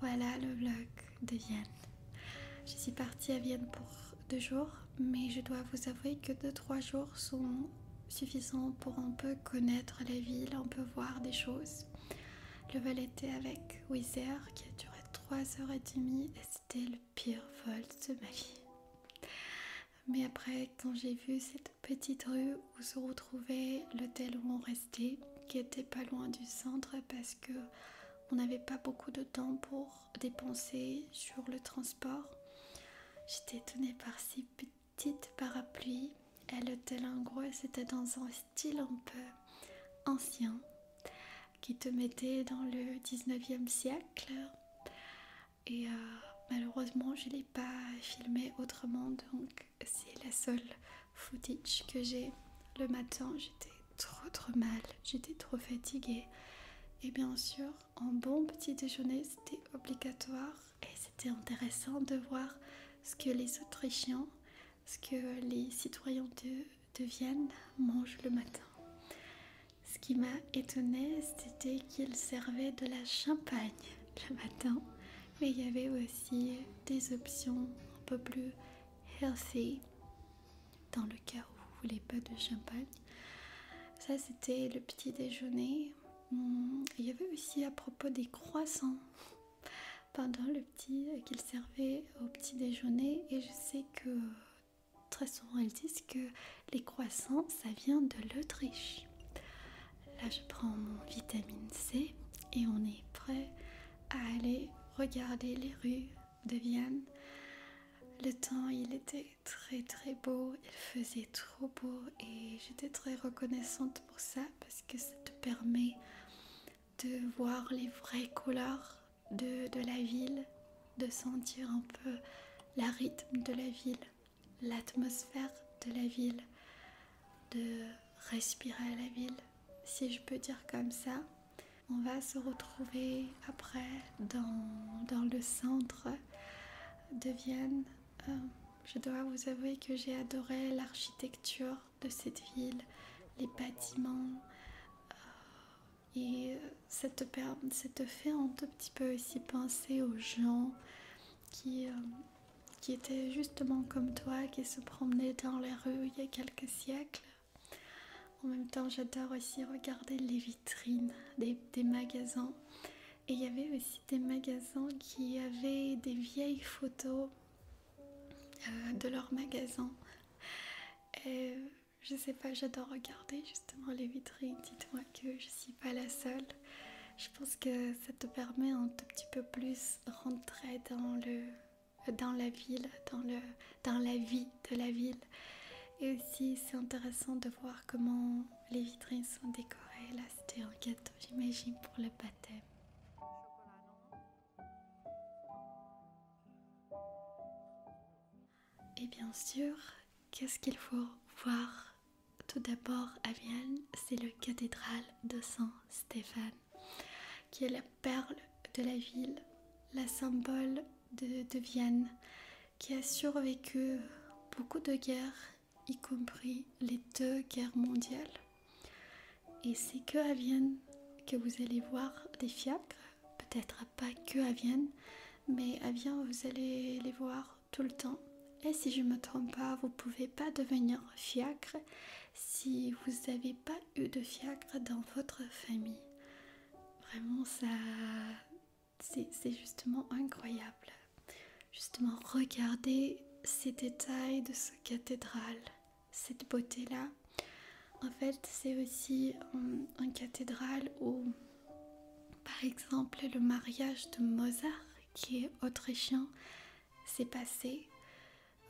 Voilà le vlog de Vienne. Je suis partie à Vienne pour deux jours, mais je dois vous avouer que deux trois jours sont suffisants pour un peu connaître la ville, un peu voir des choses. Le vol était avec Wizz qui a duré trois heures et demie, et c'était le pire vol de ma vie. Mais après, quand j'ai vu cette petite rue où se retrouvait l'hôtel où on restait, qui était pas loin du centre parce que on n'avait pas beaucoup de temps pour dépenser sur le transport, j'étais étonnée par ces petites parapluies. Et l'hôtel, en gros, c'était dans un style un peu ancien qui te mettait dans le 19e siècle et euh, malheureusement je ne l'ai pas filmé autrement donc c'est la seule footage que j'ai le matin j'étais trop trop mal j'étais trop fatiguée et bien sûr un bon petit déjeuner c'était obligatoire et c'était intéressant de voir ce que les autrichiens ce que les citoyens de, de Vienne mangent le matin ce qui m'a étonnée, c'était qu'ils servaient de la champagne le matin, mais il y avait aussi des options un peu plus healthy dans le cas où vous voulez pas de champagne. Ça c'était le petit déjeuner. Hmm, il y avait aussi à propos des croissants pendant le petit euh, qu'ils servaient au petit déjeuner et je sais que très souvent ils disent que les croissants ça vient de l'Autriche Là, je prends mon vitamine C et on est prêt à aller regarder les rues de Vienne. Le temps, il était très très beau, il faisait trop beau et j'étais très reconnaissante pour ça parce que ça te permet de voir les vraies couleurs de, la ville, de sentir un peu le rythme de la ville l'atmosphère de la ville, de respirer à la ville, si je peux dire comme ça. On va se retrouver après dans, le centre de Vienne. Euh, je dois vous avouer que j'ai adoré l'architecture de cette ville, les bâtiments. Euh, et ça te fait un tout petit peu aussi penser aux gens euh, qui, était justement comme toi, qui se promenait dans les rues il y a quelques siècles. En même temps, j'adore aussi regarder les vitrines des, magasins. Et il y avait aussi des magasins qui avaient des vieilles photos euh, de leurs magasins. Et je sais pas, j'adore regarder justement les vitrines. Dites-moi que je ne suis pas la seule. Je pense que ça te permet un tout petit peu plus rentrer dans le dans la ville, dans le dans la vie de la ville. Et aussi c'est intéressant de voir comment les vitrines sont décorées. Là c'était un gâteau j'imagine pour le baptême. Et bien sûr, qu'est-ce qu'il faut voir tout d'abord à Vienne C'est la cathédrale de Saint-Stéphane, qui est la perle de la ville, la symbole de, de Vienne, qui a survécu beaucoup de guerres, y compris les deux guerres mondiales. Et c'est que à Vienne que vous allez voir des fiacres, peut-être pas que à Vienne, mais à eh Vienne vous allez les voir tout le temps. Et si je me trompe pas, vous pouvez pas devenir fiacre si vous n'avez pas eu de fiacre dans votre famille. Vraiment, ça, c'est justement incroyable. Justement, regardez ces détails de cette cathédrale, cette beauté-là. En fait, c'est aussi hum, une cathédrale où par exemple, le mariage de Mozart, qui est autrichien, s'est passé.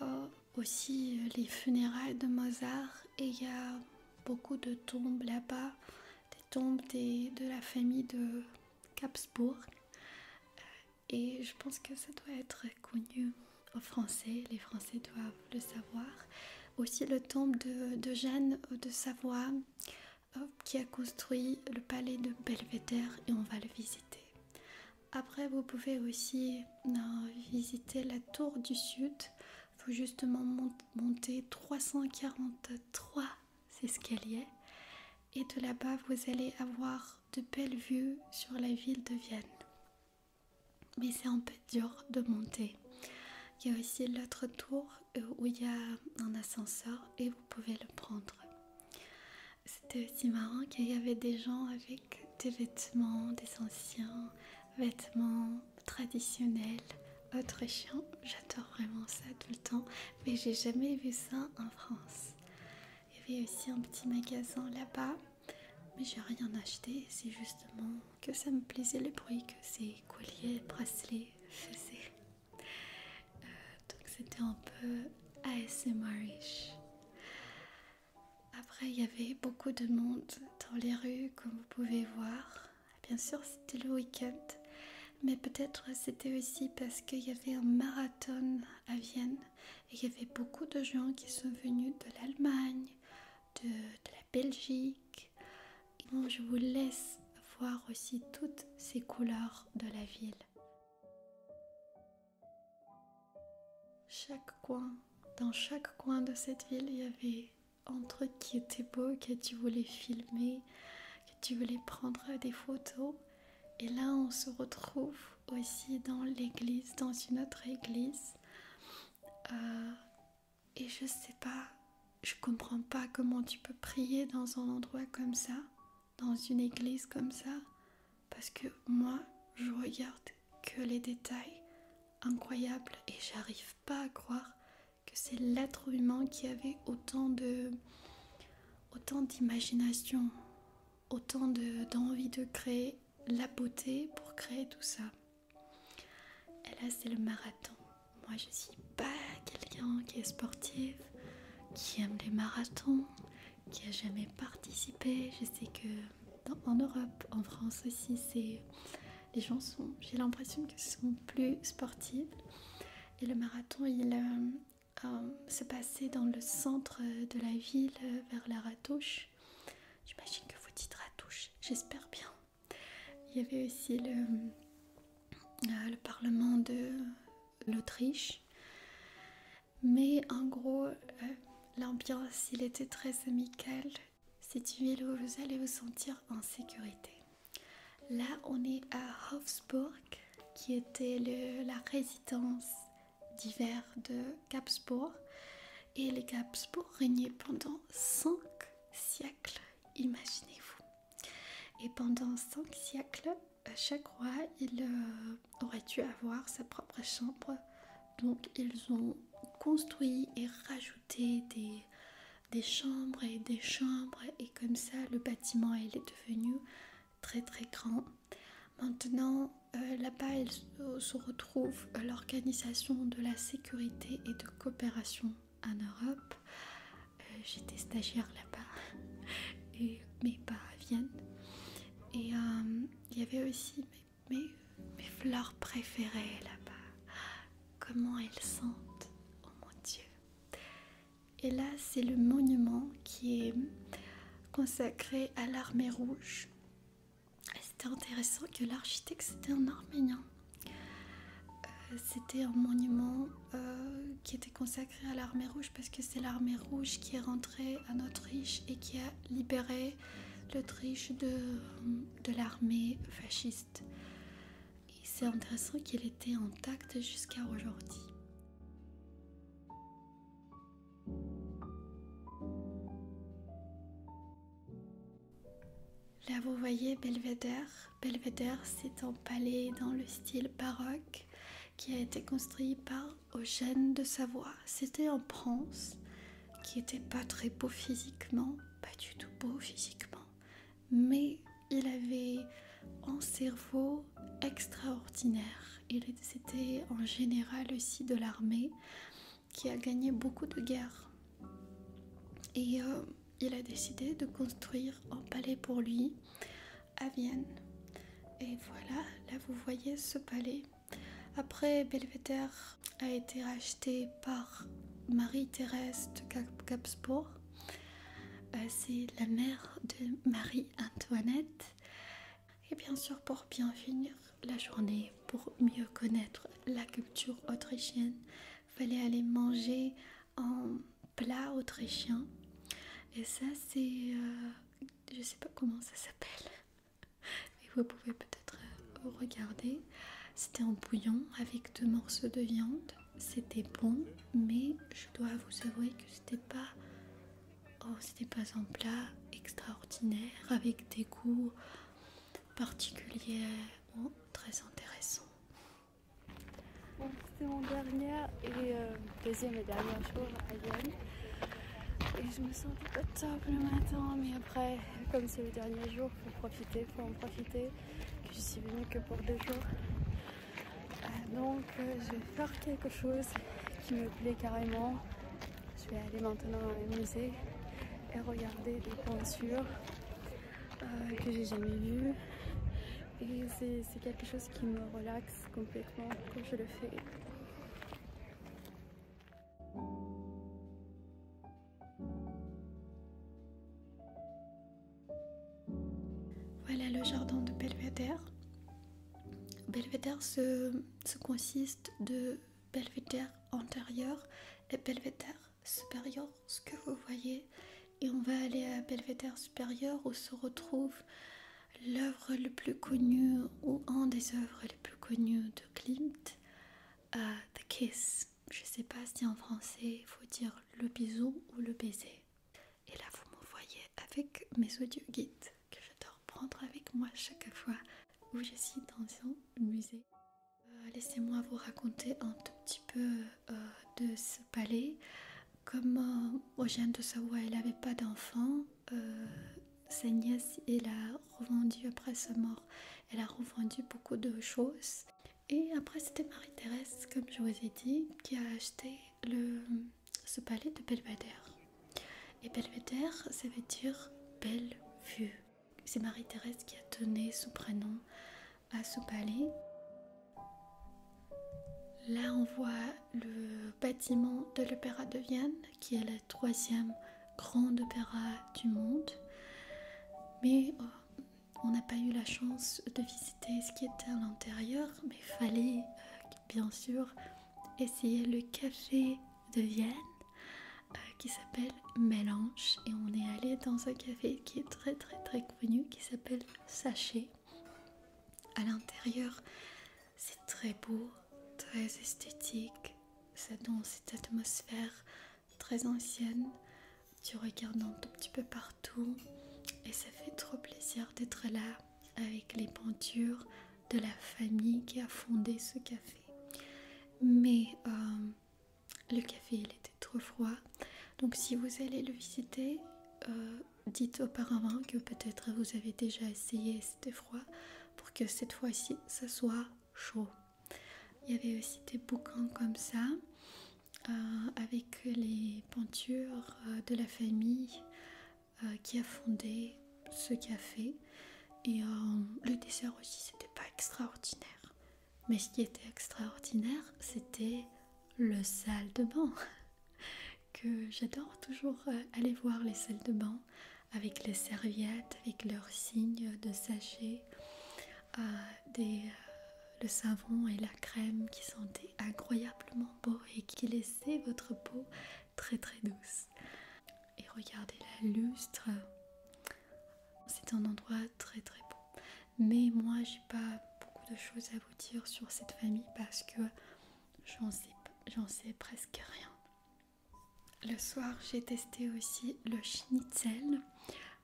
Euh, aussi euh, les funérailles de Mozart et il y a beaucoup de tombes là-bas, des tombes de la famille de Capsbourg. Euh, et je pense que ça doit être connu aux Français, les Français doivent le savoir. Aussi le tombe de, de Jeanne de Savoie qui a construit le palais de Belvédère et on va le visiter. Après, vous pouvez aussi euh, visiter la tour du sud. Vous faut justement monter 343 escaliers. Et de là-bas, vous allez avoir de belles vues sur la ville de Vienne. Mais c'est dur de monter. Il y a aussi l'autre tour euh, où il y a un ascenseur et vous pouvez le prendre. C'était aussi marrant qu'il y avait des gens avec des vêtements, des anciens vêtements traditionnels, autrichiens, J'adore vraiment ça tout le temps, mais j'ai jamais vu ça en France. Il y avait aussi un petit magasin là-bas, mais j'ai rien acheté. C'est justement que ça me plaisait le bruit que ces colliers, bracelets faisaient. Euh, donc c'était un peu ASMR-ish. Après, il y avait beaucoup de monde dans les rues, comme vous pouvez voir. Bien sûr, c'était le week-end, mais peut-être c'était aussi parce qu'il y avait un marathon à Vienne et il y avait beaucoup de gens qui sont venus de l'Allemagne, de, de Belgique. je vous laisse voir aussi toutes ces couleurs de la ville. Chaque coin, dans chaque coin de cette ville, il y avait un truc qui était beau, que tu voulais filmer, que tu voulais prendre des photos. Et là, on se retrouve aussi dans l'église, dans une autre église. Euh, et je sais pas, je comprends pas comment tu peux prier dans un endroit comme ça, dans une église comme ça, parce que moi, je regarde que les détails incroyables et j'arrive pas à croire que c'est l'être humain qui avait autant d'imagination, autant d'envie de créer la beauté pour créer tout ça. Et là, c'est le marathon. Moi, je suis pas quelqu'un qui est sportif, qui aime les marathons, qui a jamais participé. Je sais que en Europe, en France aussi, c'est les gens sont. J'ai l'impression que ce sont plus sportifs. Et le marathon, il euh, euh, se passait dans le centre de la ville, vers la Ratouche. J'imagine que vous dites Ratouche. J'espère bien. Il y avait aussi euh, le, Parlement de l'Autriche. Mais en gros, euh, l'ambiance, il était très amicale. C'est une ville où vous allez vous sentir en sécurité. Là, on est à Hofsburg, qui était la résidence d'hiver de Capsbourg et les Habsbourg régner pendant 5 siècles, imaginez-vous. Et pendant 5 siècles, euh, chaque roi euh, aurait dû avoir sa propre chambre. Donc ils ont construit et rajouté des, des chambres et des chambres et comme ça le bâtiment est devenu très très grand. Maintenant euh, là-bas, elle se retrouve l'organisation de la sécurité et de coopération en Europe. Euh, j'étais stagiaire là-bas, mais pas à Vienne. Et euh, il y avait aussi mes fleurs préférées là-bas. Comment elles sentent, oh mon Dieu. Et là, c'est le monument qui est consacré à l'armée rouge c'était intéressant que l'architecte c'était un arménien. Euh, c'était un monument euh, qui était consacré à l'armée rouge parce que c'est l'armée rouge qui est rentrée en Autriche et qui a libéré l'Autriche de, de l'armée fasciste. Et c'est intéressant qu'il était intact jusqu'à aujourd'hui. Là, vous voyez Belvédère. Belvédère, c'est un palais dans le style baroque qui a été construit par Eugène de Savoie. C'était un prince qui n'était pas très beau physiquement, pas du tout beau physiquement, mais il avait un cerveau extraordinaire. Il était en général aussi de l'armée qui a gagné beaucoup de guerres. Et euh, il a décidé de construire un palais pour lui à Vienne. Et voilà, là vous voyez ce palais. Après, Belvédère a été racheté par Marie-Thérèse de Capsbourg. Euh, c'est la mère de Marie-Antoinette. Et bien sûr, pour bien finir, la journée pour mieux connaître la culture autrichienne. Fallait aller manger en plat autrichien. Et ça, c'est. Euh, je sais pas comment ça s'appelle. vous pouvez peut-être euh, regarder. C'était en bouillon avec deux morceaux de viande. C'était bon, mais je dois vous avouer que c'était pas Oh, c'était pas un plat extraordinaire avec des goûts particuliers très intéressant. c'était mon dernier et euh, deuxième et dernier jour à Lyon. Et je me sentais pas top le matin, mais après, comme c'est le dernier jour, faut profiter, faut en profiter. je suis venue que pour deux jours. Euh, donc euh, je vais faire quelque chose qui me plaît carrément je vais aller maintenant dans les musées et regarder des peintures euh, que j'ai jamais vues. Et c'est quelque chose qui me relaxe complètement quand je le fais. Voilà le jardin de Belvédère. Belvédère se, consiste de belvédère antérieur et belvédère supérieur, ce que vous voyez. Et on va aller à belvédère supérieur où se retrouve l'œuvre le plus connue ou un des œuvres les plus connues de Klimt, euh, The Kiss. Je sais pas si en français il faut dire le bisou ou le baiser. Et là vous voyez avec mes audio guides que j'adore prendre avec moi chaque fois où je suis dans un musée. Euh, laissez-moi vous raconter un tout petit peu euh, de ce palais. Comme Eugène de Savoie, elle n'avait pas d'enfant, euh, sa nièce, elle a revendu après sa mort. Elle a revendu beaucoup de choses. Et après, c'était Marie-Thérèse, comme je vous ai dit, qui a acheté le, ce palais de Belvedere. Et Belvedere, ça veut dire belle vue. C'est Marie-Thérèse qui a donné son prénom à ce palais. Là, on voit le bâtiment de l'Opéra de Vienne, qui est la troisième grande opéra du monde. Mais euh, on n'a pas eu la chance de visiter ce qui était à l'intérieur, mais fallait euh, bien sûr essayez le café de Vienne euh, qui s'appelle Mélange et on est allé dans un café qui est très très très connu qui s'appelle Sachet. À l'intérieur, c'est très beau, très esthétique, ça donne cette atmosphère très ancienne. Tu regardes un tout petit peu partout et ça fait trop plaisir d'être là avec les peintures, de la famille qui a fondé ce café. Mais euh, le café, il était trop froid. Donc si vous allez le visiter, euh, dites auparavant que peut-être vous avez déjà essayé, c'était froid, pour que cette fois-ci, ça soit chaud. Il y avait aussi des bouquins comme ça, euh, avec les peintures de la famille. Euh, qui a fondé ce café. Et euh, le dessert aussi, c'était pas extraordinaire. Mais ce qui était extraordinaire, c'était le salle de bain. que j'adore toujours euh, aller voir les salles de bain avec les serviettes, avec leurs signes de sachet, des, le savon et la crème qui sentaient incroyablement beau et qui les votre peau très très douce. Et regardez la lustre. C'est un endroit très très beau. Mais moi j'ai pas beaucoup de choses à vous dire sur cette famille parce que j'en sais, sais presque rien. Le soir, j'ai testé aussi le schnitzel,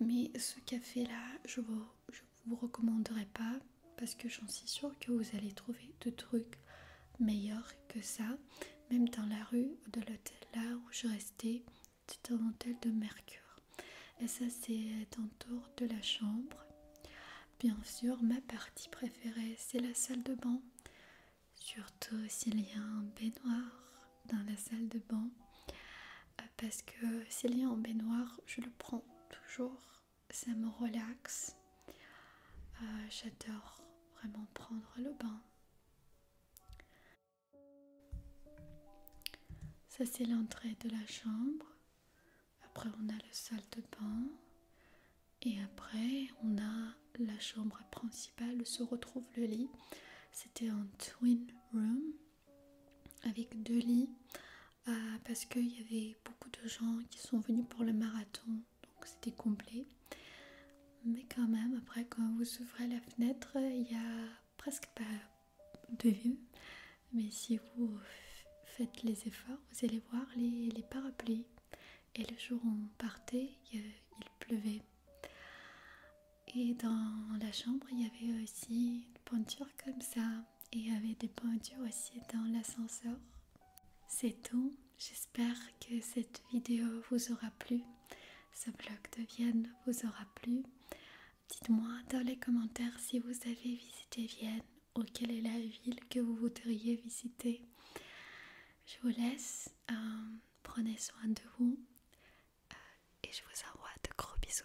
mais ce café-là, je vous je ne vous recommanderai pas parce que j'en suis sûre que vous allez trouver de trucs meilleurs que ça, même dans la rue de l'hôtel là où je restais, c'est un hôtel de Mercure. Et ça c'est autour de la chambre. Bien sûr, ma partie préférée c'est la salle de bain. Surtout s'il y a un baignoire dans la salle de bain. Euh, parce que s'il y a un baignoire, je le prends toujours ça me relaxe. Euh, j'adore vraiment prendre le bain. Ça c'est l'entrée de la chambre. Après on a le salle de bain. Et après on a la chambre principale où se retrouve le lit. C'était un twin room avec deux lits euh, parce qu'il y avait beaucoup de gens qui sont venus pour le marathon, donc c'était complet. Mais quand même, après, quand vous ouvrez la fenêtre, il y a presque pas de vue. Mais si vous faites les efforts, vous allez voir les, parapluies. Et le jour où on partait, il pleuvait. Et dans la chambre, il y avait aussi une peinture comme ça et avait des peintures aussi dans l'ascenseur. C'est tout, j'espère que cette vidéo vous aura plu, ce vlog de Vienne vous aura plu. Dites-moi dans les commentaires si vous avez visité Vienne ou quelle est la ville que vous voudriez visiter. Je vous laisse, euh, prenez soin de vous euh, et je vous envoie de gros bisous.